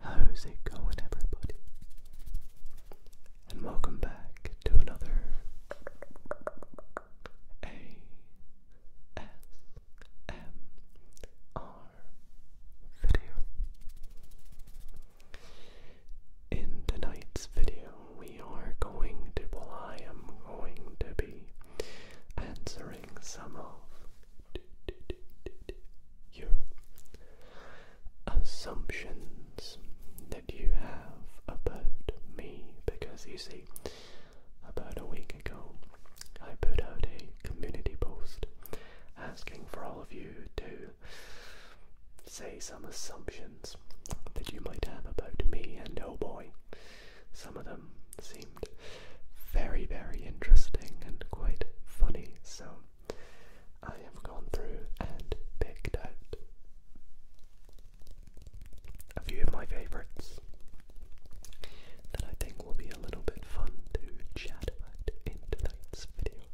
How's it going, everybody? And welcome back to another ASMR video. In tonight's video, we are going to, I am going to be answering some of your assumptions that you have about me because you see, about a week ago, I put out a community post asking for all of you to say some assumptions that you might have about me, and oh boy, some of them seemed very, very interesting and quite funny. So I have gone through and picked out a few of my favourites that I think will be a little bit fun to chat about in tonight's video.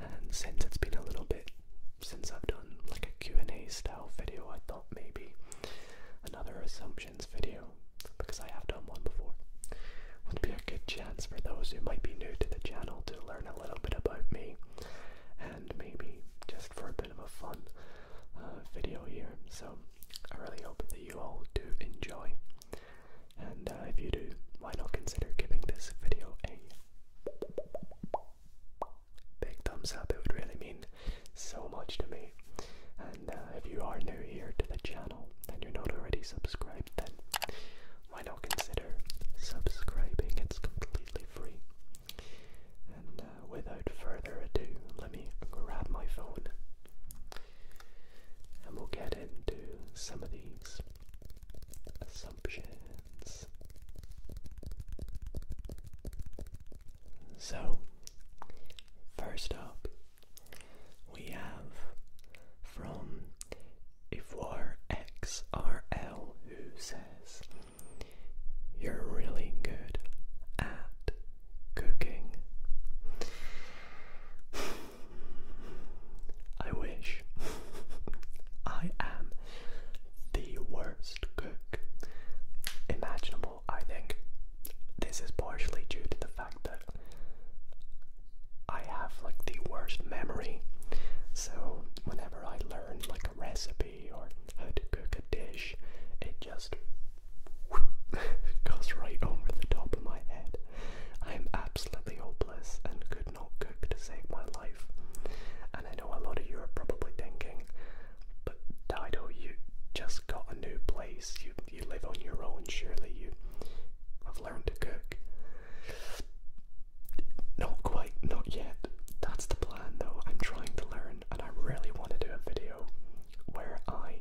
And since it's been a little bit since I've done like a Q&A style video, I thought maybe another assumptions video, because I have done one before, would be a good for those who might be new to the channel to learn a little bit about me and maybe just for a bit of a fun uh, video here. So I really hope that you all do enjoy. And uh, if you do, why not consider giving this video a big thumbs up? It would really mean so much to me. And uh, if you are new here to the channel and you're not already subscribed, then why not consider subscribing? It's completely free. And uh, without further ado, let me grab my phone and we'll get into some of these assumptions. So, first up we have from Ivoire XRL who says, You're really good at cooking. I wish I am the worst cook imaginable. I think this is partially due to the fact that. I have like the worst memory. So whenever I learn like a recipe or how to cook a dish, it just goes right over the top of my head. I'm absolutely hopeless and could not cook to save my life. And I know a lot of you are probably thinking, but Dido, you just got a new place. You you live on your own. Surely you i to cook. Not quite, not yet. That's the plan though. I'm trying to learn and I really want to do a video where I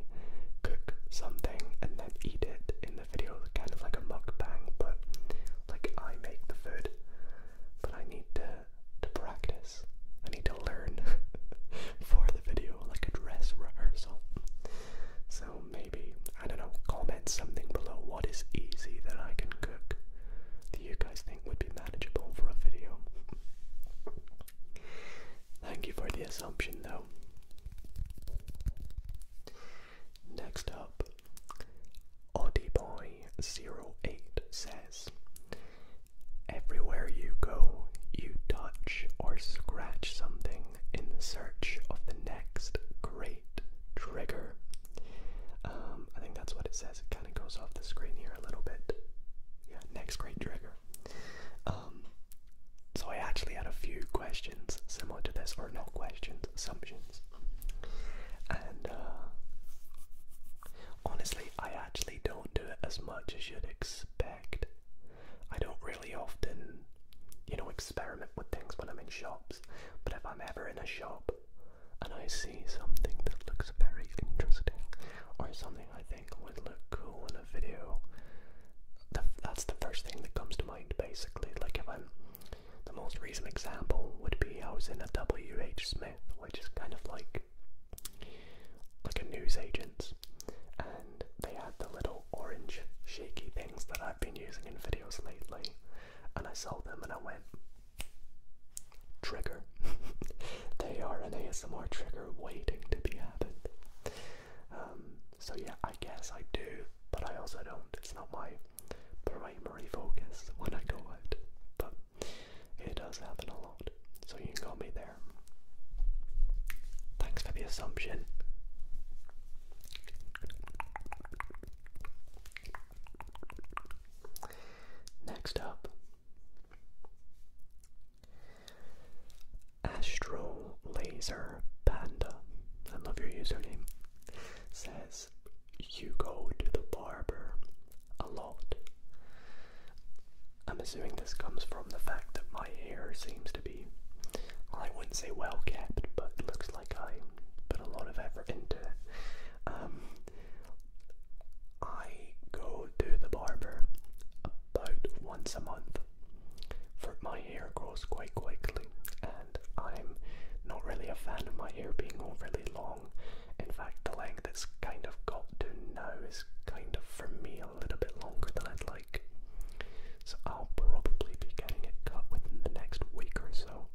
cook something and then eat it in the video, kind of like a mukbang, but like I make the food. But I need to to practice. I need to learn for the video, like a dress rehearsal. So maybe, I don't know, comment something below what is easy that I can cook Do you guys think would be manageable for a video. Thank you for the assumption though. Next up, Audioboy08 says, Everywhere you go, you touch or scratch something in the search of the next great trigger. Um, I think that's what it says. It kind of goes off the screen here a little bit. Yeah, next great trigger. Um, so I actually had a few questions similar to this, or no questions, assumptions. And uh, honestly, I actually don't do it as much as you'd expect. I don't really really often, you know, experiment with things when I'm in shops. But if I'm ever in a shop and I see something that looks very interesting or something I think would look cool in a video, that's the first thing that comes to mind basically. Like if I'm the most recent example would be I was in a WH Smith, which is kind of like like a news agent's and they had the little orange shaky things that I've been using in videos lately, and I sold them and I went, Trigger. they are an ASMR trigger waiting to be added. Um, so, yeah, I guess I do, but I also don't. It's not my primary focus when I go out, but it does happen a lot. So, you can call me there. Thanks for the assumption. Next up, Astro Laser Panda. I love your username. Says you go to the barber a lot. I'm assuming this comes from the fact that my hair seems to to be, I wouldn't say well kept, but it looks like I put a lot of effort into it. Um, I go to the barber about once a month. For my hair grows quite quickly, and I'm not really a fan of my hair being overly long. In fact, the length it's kind of got to now is kind of for me a little bit longer than I'd like. So I'll probably be getting it cut within the next week or so.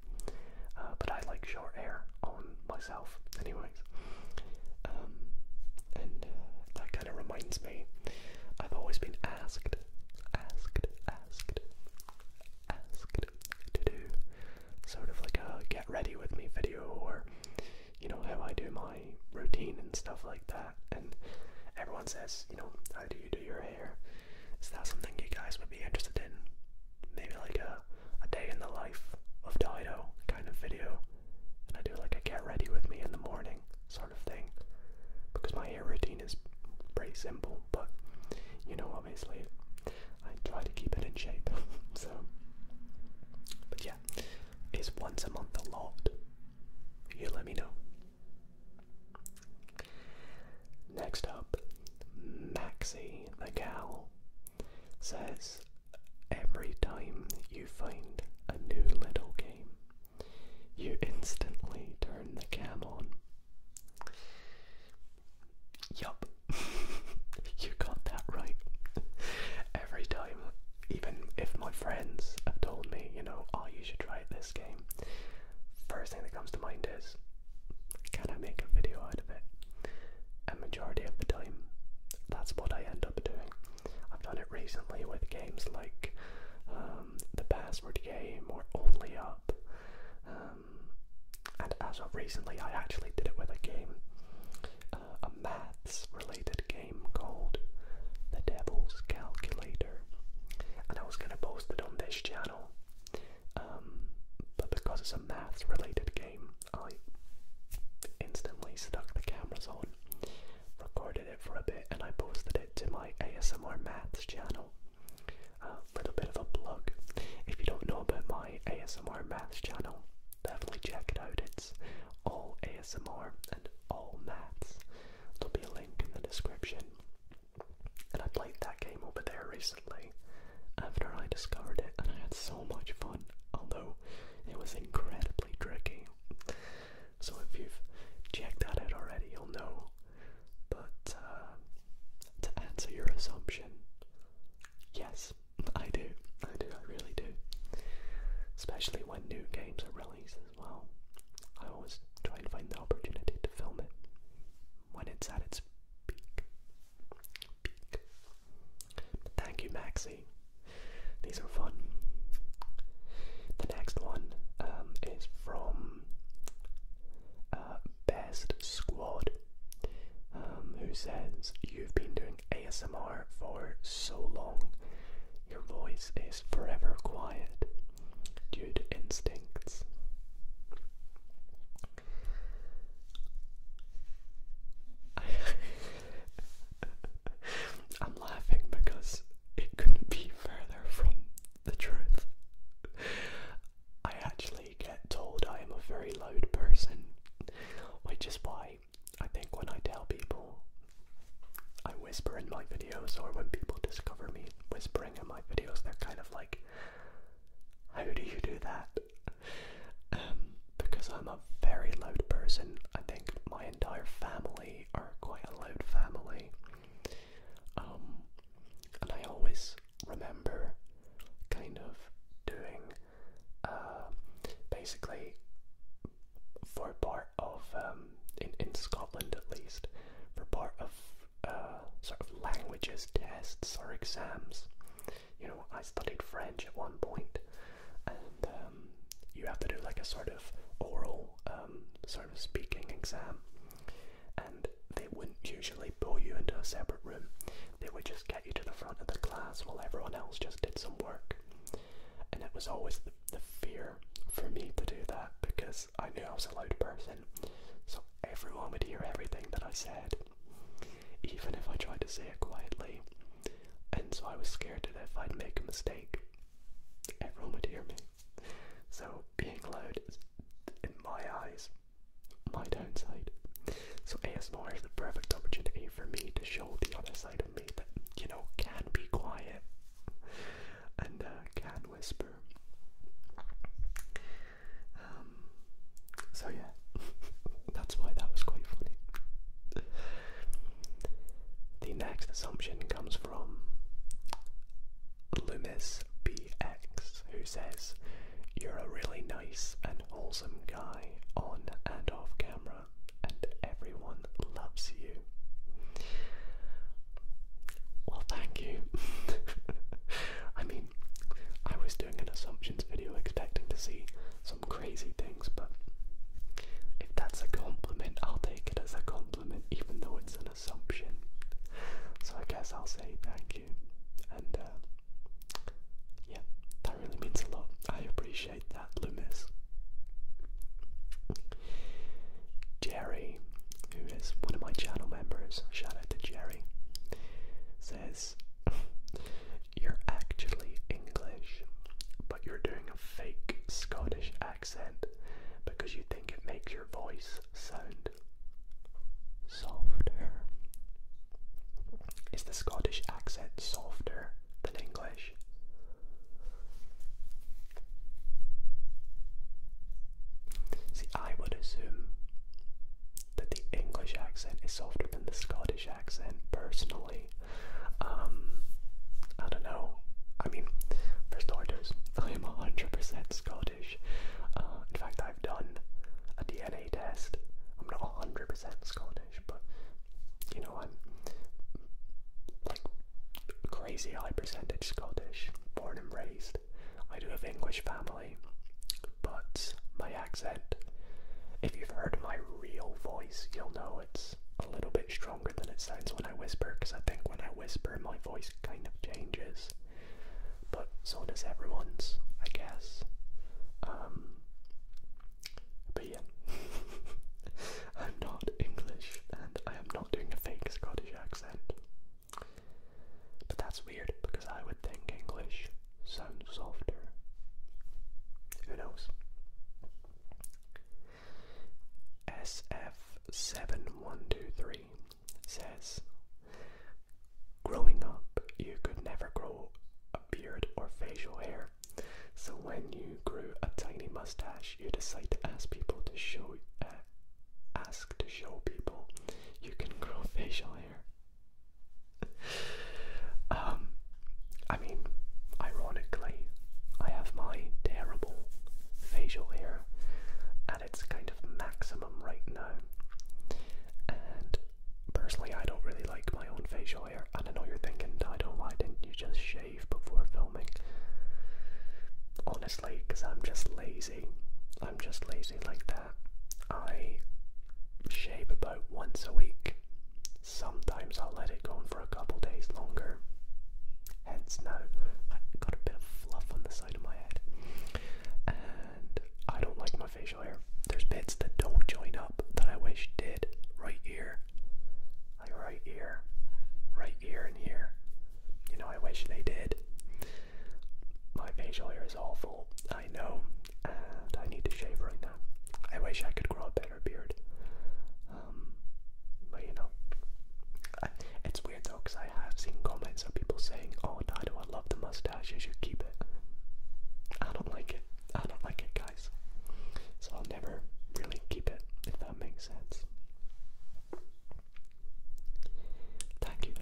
Uh, but I like short hair on myself, anyways. Um, and uh, that kind of reminds me, I've always been asked, asked, asked, asked to do sort of like a get ready with me video or, you know, how I do mine routine and stuff like that. And everyone says, you know, how do you do your hair? Is that something you guys would be interested in? Maybe like a, a day in the life of Dido kind of video. And I do like a get ready with me in the morning sort of thing. Because my hair routine is pretty simple, but you know, obviously, I try to keep it in shape. so, but yeah, is once a month a lot? You let me know. Next up, Maxie the Cow says every time you find a new little game, you instantly turn the cam on. Yup, you got that right. Every time even if my friends have told me, you know, oh, you should try this game, first thing that comes to mind is, can I make a video out of it? A majority of the time, that's what I end up doing. I've done it recently with games like um, the Password Game or Only Up, um, and as of recently, I actually did it with a game, uh, a maths-related game game called The Devil's Calculator, and I was going to post it on this channel, um, but because it's a maths related game, I instantly stuck the cameras on, recorded it for a bit, and I posted it to my ASMR maths channel. A little bit of a plug. If you don't know about my ASMR maths channel, definitely check it out. It's all ASMR and all maths. There'll be a link in the description. And I played that game over there recently after I discovered it, and I had so much fun, although it was incredibly tricky. So if you've checked that out already, you'll know. But uh, to answer your assumption, yes, I do. I do, I really do. Especially when new games are released well. I always try and find the opportunity to film it when it's at its peak. peak. thank you, Maxie. These are fun. The next one um, is from uh, Best Squad, um, who says, You've been doing ASMR for so long. Your voice is forever quiet due to instincts. I'm laughing because it couldn't be further from the truth. I actually get told I am a very loud person, which is why I think when I tell people I whisper in my videos or when people discover me whispering in my videos, they're kind of like, How do you do that? Um, because I'm a very loud person. I think my entire family are quite a loud family. Um, and I always remember kind of doing uh, basically for bar of um, in in Scotland at least for part of uh, sort of languages tests or exams. You know, I studied French at one point, and um, you have to do like a sort of oral um, sort of speaking exam, and they wouldn't usually pull you into a separate room. They would just get you to the front of the class while everyone else just did some work. And it was always the fear for me to do that because I knew I was a loud person, so everyone would hear everything that I said, even if I tried to say it quietly. And so I was scared that if I'd make a mistake, everyone would hear me. So being loud is, in my eyes, my downside. So ASMR is the perfect opportunity for me to show the other side of me that, you know, can be quiet and uh, can whisper. Um, so, yeah, that's why that was quite funny. The next assumption comes from Loomis BX, who says, You're a really nice and wholesome guy on and off camera and everyone loves you. Well, thank you. I mean, I was doing an assumptions video expecting to see some crazy things, but if that's a compliment, I'll take it as a compliment, even though it's an assumption. So I guess I'll say thank you. And uh, yeah, that really means a lot. I appreciate that, Loomis. Jerry, who is one of my channel members, shout out to Jerry, says, You're actually English, but you're doing a fake Scottish accent because you think it makes your voice sound softer. Is the Scottish accent softer than English? See, I would assume that the English accent is softer than the Scottish accent, personally. Um, I don't know. I mean, for starters, I am 100% Scottish. Uh, in fact, I've done a DNA test. I'm not 100% Scottish but you know, I'm like crazy high percentage Scottish, born and raised. I do have English family, but my accent, if you've heard my real voice, you'll know it's a little bit stronger than it sounds when I whisper, because I think when I whisper, my voice kind of changes, but so does everyone's, I guess. Um, I'm not English and I am not doing a fake Scottish accent. But that's weird because I would think English sounds softer. Who knows? SF7123 says Growing up, you could never grow a beard or facial hair so when you grew a tiny mustache, you decide to ask people to show, uh, ask to show people you can grow facial hair. um, I mean, ironically, I have my terrible facial hair at its kind of maximum right now, and personally, I don't really like my own facial hair. And I know you're thinking, I don't. Why didn't you just shave before filming. Honestly, because I'm just lazy. I'm just lazy like that. I shave about once a week. Sometimes I'll let it go on for a couple days longer. Hence now, I got a bit of fluff on the side of my head. And I don't like my facial hair. There's bits that don't join up that I wish did right here like right here, right here, and here. You know, I wish they did. My facial hair is awful, I know, and I need to shave right now. I wish I could grow a better beard. Um, but you know, it's weird though, because I have seen comments of people saying, "Oh, Dido, I love the mustache. You should keep it." I don't like it. I don't like it, guys. So I'll never really keep it, if that makes sense. Thank you,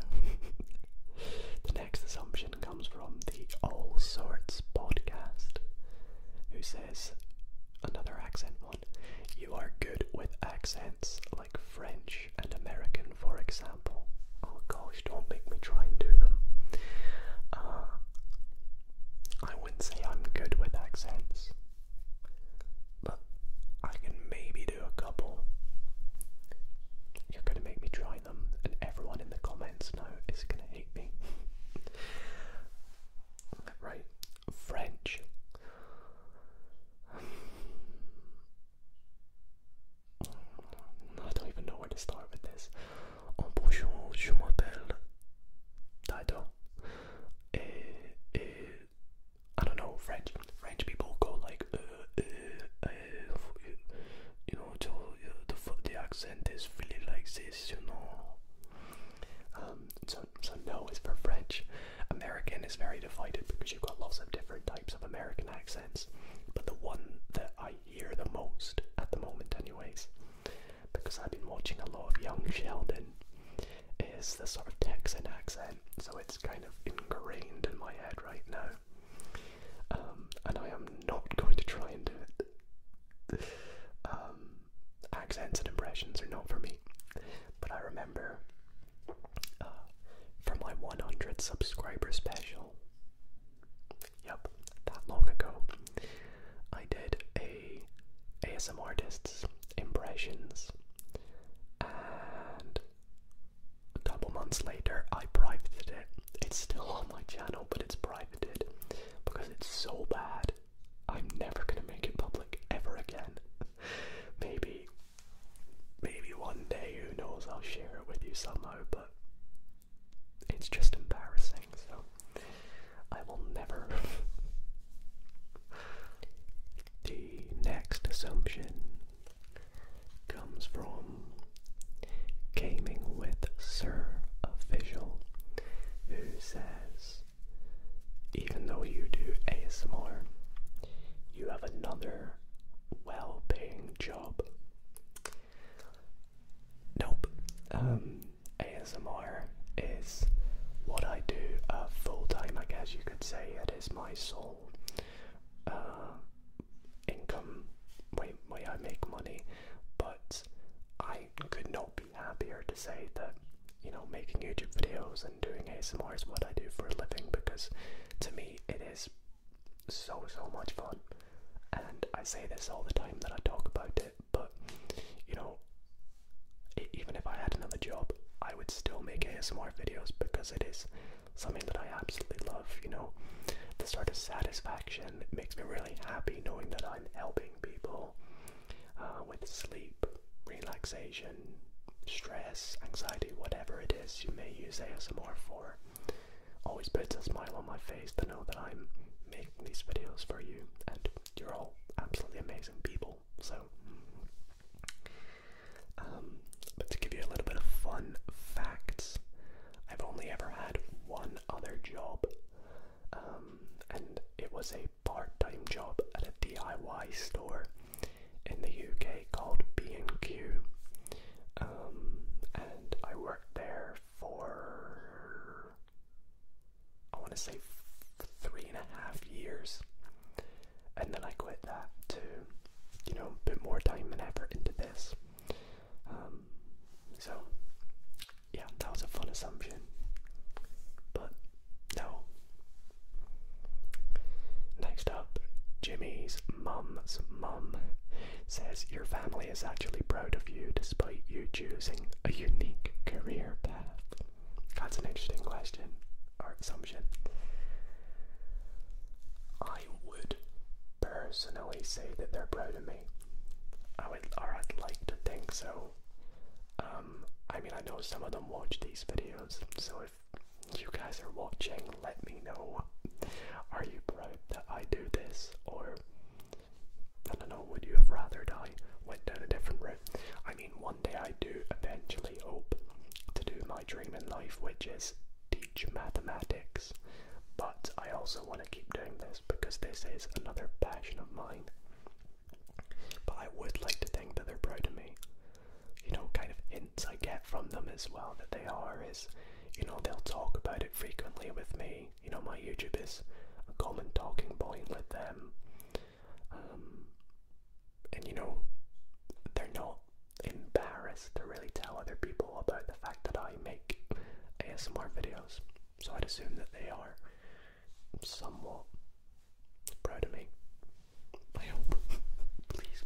the next assumption comes from the All Sorts podcast, who says, another accent one, you are good with accents like French and American, for example. Oh gosh, don't make me try and do them. Uh, I wouldn't say I'm good with accents, but I can maybe do a couple. You're gonna make me try them, and everyone in the comments now is gonna hate me. right, French. I don't even know where to start with this en je m'appelle Dido et, et I don't know French French people go like uh, uh, uh, you know to, the the accent is really like this you know um, so so no is for French American is very divided because you've got lots of different types of American accents but the one that I hear the most at the moment anyways because I've been watching a lot of Young Sheldon, is the sort of Texan accent, so it's kind of ingrained in my head right now. Um, and I am not going to try and do it. Um, accents and impressions are not for me, but I remember uh, from my 100 subscriber special, Yep, that long ago. I did a ASM artists impressions, and a couple months later I private it. It's still on my channel, but it's privated because it's so bad. I'm never gonna make it public ever again. maybe, maybe one day, who knows? I'll share it with you somehow, but it's just embarrassing. So I will never. the next assumption comes from Gaming with Sir Official, who says, even though you do ASMR, you have another well paying job. Nope. Um, ASMR is what I do uh, full time, I guess you could say. It is my sole uh, income way, way I make money, but I could not be happier to say that you know making YouTube videos and doing ASMR is what I do for a living because to me it is so so much fun. And I say this all the time that I talk about it, but you know, even if I had another job, I would still make ASMR videos because it is something that I absolutely love, you know. The sort of satisfaction makes me really happy knowing that I'm helping people uh, with sleep, relaxation, stress, anxiety, whatever it is you may use ASMR for. Always puts a smile on my face to know that I'm making these videos for you, and you're all absolutely amazing people. So, um, but to give you a little bit of fun facts, I've only ever had one other job, um, and it was a part-time job at a DIY store in the UK called B&Q. Um, and I worked there for I want to say three and a half years, and then I quit that to, you know, put more time and effort into this. Um, so, yeah, that was a fun assumption, but no. Next up, Jimmy's mum's mum says your family is actually proud of you despite you choosing a unique career path? That's an interesting question or assumption. I would personally say that they're proud of me. I would, or I'd like to think so. Um, I mean, I know some of them watch these videos, so if you guys are watching, let me know. Are you proud that I do this, or I don't know, would you have rathered I went down a different route? I mean, one day I do eventually hope to do my dream in life, which is teach mathematics. But I also want to keep doing this because this is another passion of mine. But I would like to think that they're proud of me. You know, kind of hints I get from them as well that they are is, you know, they'll talk about it frequently with me you know my YouTube is a common talking point with them. Um, and you know, they're not embarrassed to really tell other people about the fact that I make ASMR videos. So I'd assume that they are somewhat proud of me. I hope. Please.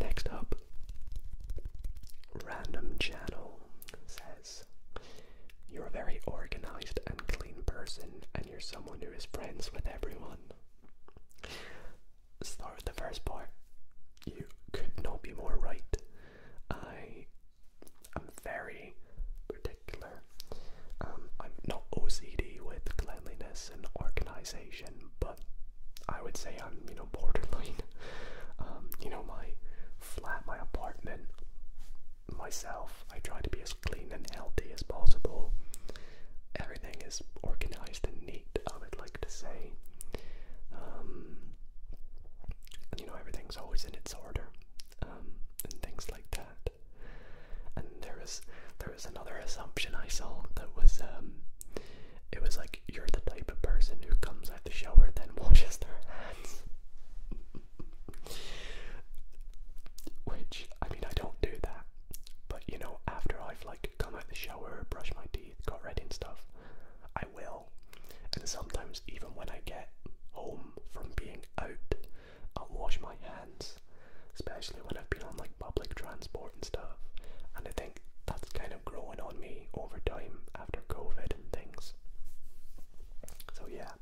Next up, Random Channel says, You're a very organized and clean person, and you're someone who is friends with everyone. Start with the first part. You could not be more right. I am very particular. Um, I'm not OCD with cleanliness and organization but I would say I'm, you know, borderline. Um, you know, my flat, my apartment, myself, I try to be as clean and healthy as possible. Everything is organized and neat, I would like to say. Um, you know, everything's always in its order, um, and things like that. And there was there was another assumption I saw that was it was like you're the type of person who comes out the shower then washes their hands. Which I mean I don't do that. But you know, after I've like come out the shower, brush my teeth, got ready and stuff, I will. And sometimes even when I get home from being out, I'll wash my hands. Especially when I've been on like public transport and and stuff. And I think that's kind of growing on me over time after COVID and things. So yeah.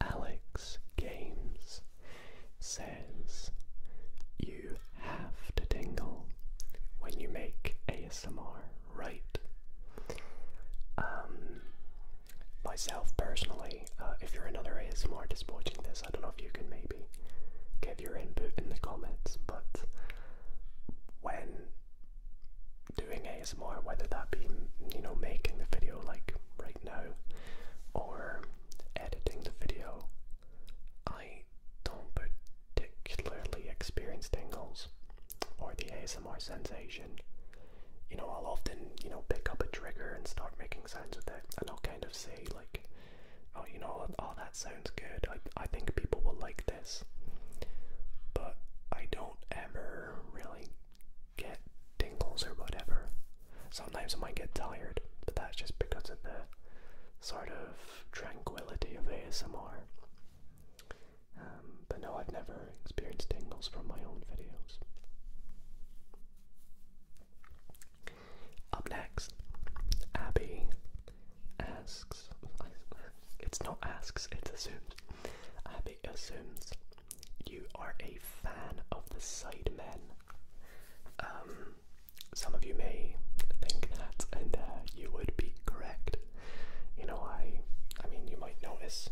Alex Games says you have to tingle when you make ASMR right. Um, myself personally, uh, if you're another ASMR just watching this, I don't know if you can maybe give your input in the comments, but when doing ASMR, whether that be you know making the video like right now or editing the video, I don't particularly experience tingles or the ASMR sensation. You know, I'll often, you know, pick up a trigger and start making sounds with it, and I'll kind of say, like, oh, you know, all oh, that sounds good. I, I think people will like this. But I don't ever really get tingles or whatever. Sometimes I might get tired, but that's just because of the sort of tranquility of ASMR. Um, but no, I've never experienced tingles from my own videos. Up next, Abby asks. It's not asks, it assumes. Abby assumes you are a fan of the Sidemen. Um, some of you may think that, and uh, you would be correct. You know, I, I mean, you might notice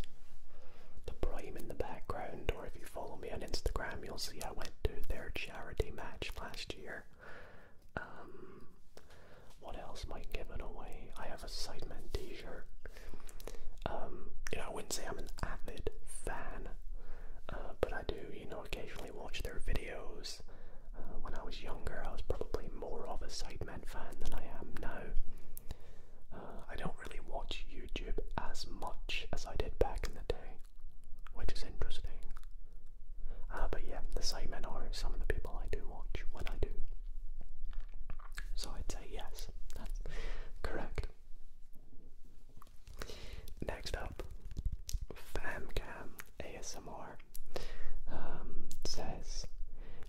the Prime in the background, or if you follow me on Instagram, you'll see I went to their charity match last year. Um, what else am I giving away? I have a Sidemen t-shirt. Um, you know, I wouldn't say I'm an avid fan, uh, but I do, you know, occasionally watch their videos. Uh, when I was younger, I was probably more of a Sidemen fan than I am now. Uh, I don't really watch YouTube as much as I did back in the day which is interesting. Uh, but yeah, the same. Simon or some of the people I do watch when I do. So I'd say yes, that's correct. Next up, Famcam ASMR um, says,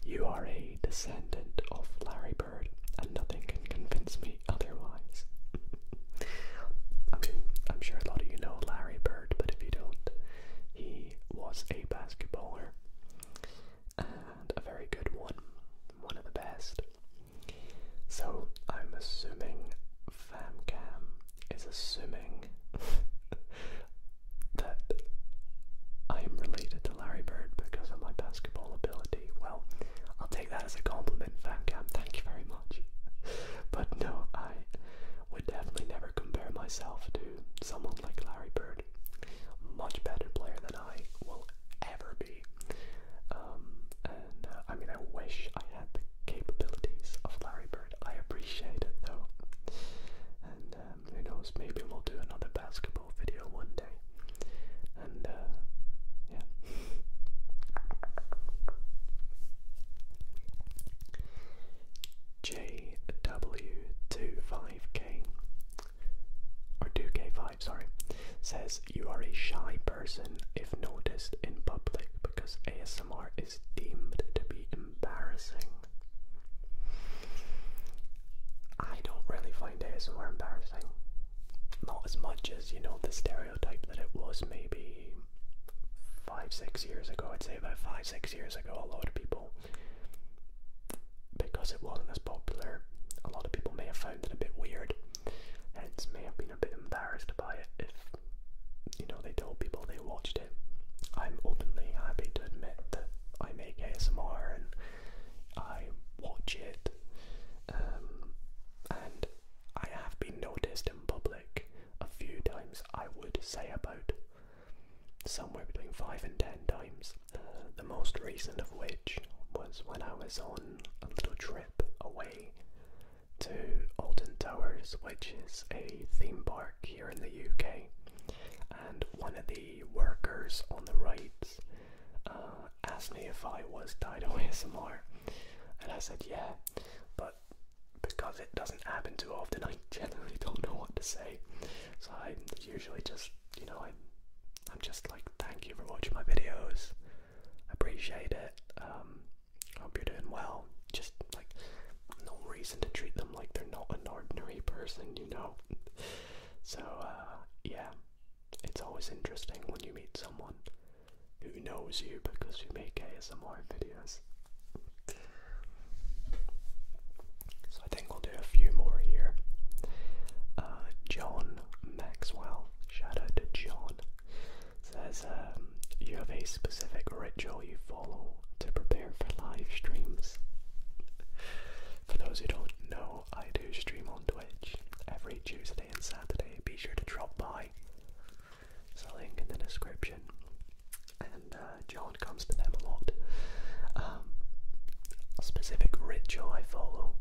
You are a descendant of Larry Bird, and nothing can convince me otherwise. I mean, I'm sure a lot of you know Larry Bird, but if you don't, he was a basketballer and a very good one, one of the best. So I'm assuming Famcam is assuming that I am related to Larry Bird because of my basketball ability. Well, I'll take that as a compliment, Famcam. Thank you very much. But no, I would definitely never compare myself to someone like Larry Bird. Much better player than I will ever be. Um, and uh, I mean, I wish I had the capabilities of Larry Bird. I appreciate it though. And um, who knows, maybe we'll do another basketball video one day. And uh, yeah. JW25K or 2K5, sorry, says you are a shy person if noticed in public because ASMR is deemed to be embarrassing. I don't really find ASMR embarrassing not as much as you know the stereotype that it was maybe five six years ago i'd say about five six years ago a lot of people because it wasn't as popular a lot of people may have found it a bit weird hence may have been a bit embarrassed by it if you know they told people they watched it i'm openly happy to admit that i make asmr and i watch it um, and I have been noticed in public a few times, I would say about somewhere between 5 and 10 times. Uh, the most recent of which was when I was on a little trip away to Alton Towers, which is a theme park here in the UK. And one of the workers on the right uh, asked me if I was Dido ASMR, and I said yeah, but because it doesn't happen too often, I generally don't know what to say. So I usually just, you know, I, I'm just like, thank you for watching my videos, appreciate it, um, hope you're doing well. Just like, no reason to treat them like they're not an ordinary person, you know? So, uh, yeah, it's always interesting when you meet someone who knows you because you make ASMR videos. So I think we'll do a few more here. Uh, John Maxwell, shout out to John, says um, you have a specific ritual you follow to prepare for live streams. For those who don't know, I do stream on Twitch every Tuesday and Saturday. Be sure to drop by buy. a link in the description. And uh, John comes to them a lot. Um, a specific ritual I follow.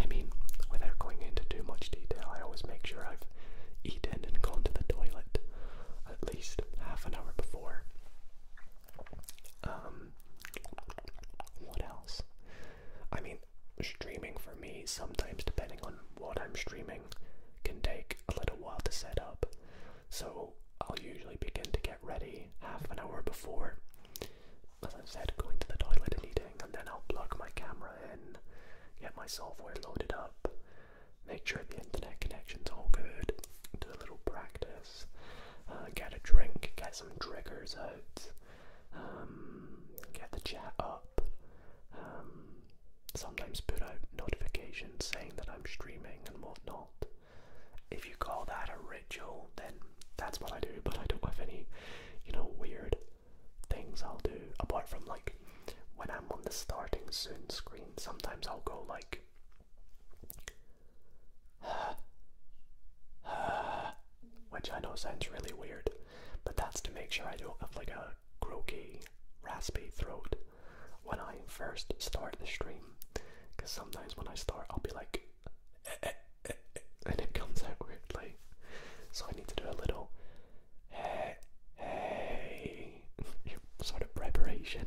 I mean, without going into too much detail, I always make sure I've eaten and gone to the toilet at least half an hour before. Um, what else? I mean, streaming for me sometimes, depending on what I'm streaming, can take a little while to set up. So I'll usually begin to get ready half an hour before. As i said, going to the toilet and eating, and then I'll plug my camera in, get my software loaded up, make sure the internet connection's all good, do a little practice, uh, get a drink, get some triggers out, get the chat up, sometimes put out notifications saying that I'm streaming and whatnot. If you call that a ritual, then that's what I do, but I don't have any, you know, weird things I'll do apart from like when I'm on the starting soon screen, sometimes I'll go like which I know sounds really weird, but that's to make sure I don't have like a croaky, raspy throat when I first start the stream. Because sometimes when I start, I'll be like, eh, eh, eh, and it comes out quickly. So I need to do a little, sort of preparation.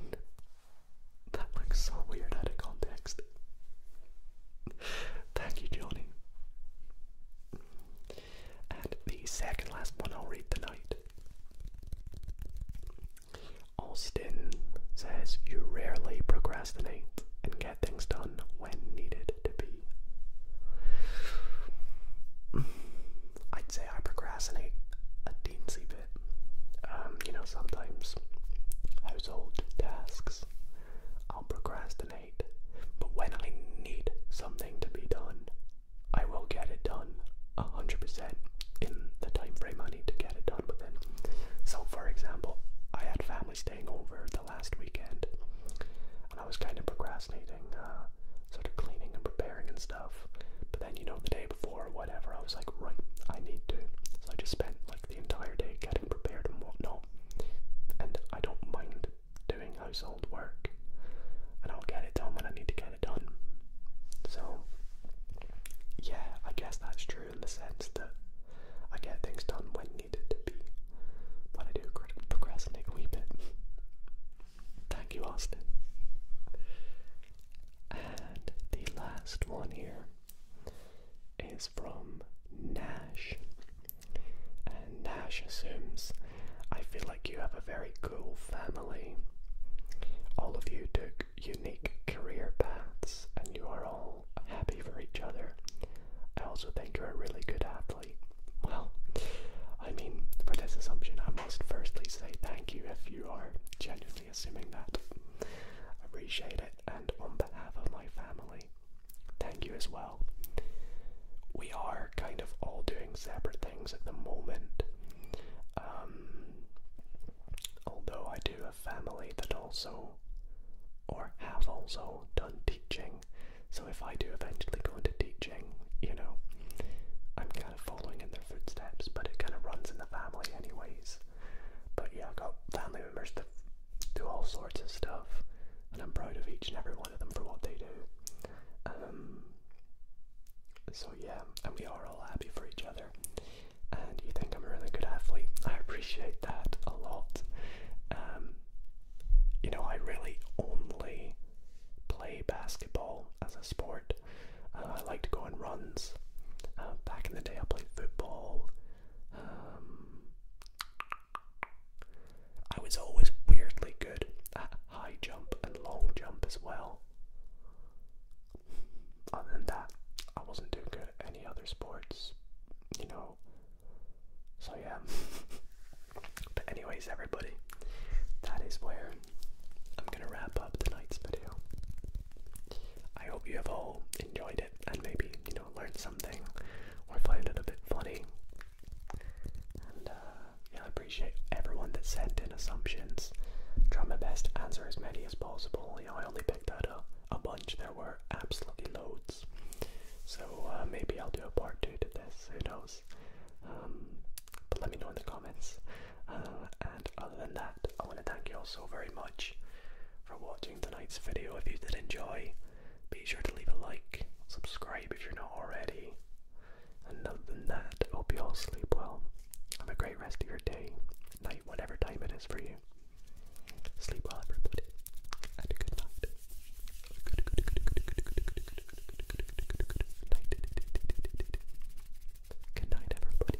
That looks so weird out of context. Thank you, Johnny. And the second last one I'll read tonight. Austin says you rarely procrastinate and get things done when needed to be. I'd say I procrastinate a teensy bit. Um, you know, sometimes household tasks I'll procrastinate but when I need something to be done, I will get it done 100% in the time frame I need to get it done within. So, for example, I had family staying over the last weekend, and I was kind of procrastinating, uh, sort of cleaning and preparing and stuff. But then, you know, the day before whatever, I was like, right, I need to. So I just spent like the entire day getting prepared and whatnot. And I don't mind doing household work, and I'll get it done when I need to get it done. So, yeah, I guess that's true in the sense that I get things done when needed to be, but I do procrastinate a wee bit. Thank you, Austin. And the last one here is from Nash. And Nash assumes, I feel like you have a very cool family. All of you took unique career paths and you are all happy for each other. I also think you're a really good athlete. Well, I mean, for this assumption, I must first please say thank you if you are genuinely assuming that. appreciate it, and on behalf of my family, Thank you as well. We are kind of all doing separate things at the moment. Um, although I do have family that also, or have also, done teaching. So if I do eventually go into teaching, you know, I'm kind of following in their footsteps, but it kind of runs in the family, anyways. But yeah, i got family members to do all sorts of stuff, and I'm proud of each and every one of them for what they do. Um, so yeah, and we are all happy for each other. And you think I'm a really good athlete? I appreciate that a lot. Um, you know, I really only play basketball as a sport. Uh, I like to go on runs. Uh, back in the day, I played football. Um, I was always weirdly good at high jump and long jump as well. Other than that, I wasn't doing good at any other sports, you know. So yeah. but anyways, everybody, that is where I'm gonna wrap up tonight's video. I hope you have all enjoyed it and maybe, you know, learned something or find it a bit funny. And uh, yeah, I appreciate everyone that sent in assumptions. Try my best to answer as many as possible. I only picked out a, bunch. There were absolutely loads. So uh, maybe I'll do a part two to this. Who knows? Um, but let me know in the comments. Uh, and other than that, I want to thank you all so very much for watching tonight's video. If you did enjoy, be sure to leave a like, subscribe if you're not already. And other than that, hope you all sleep well. Have a great rest of your day, night, whatever time it is for you. Sleep well, everybody, and a good good night. Good night, everybody.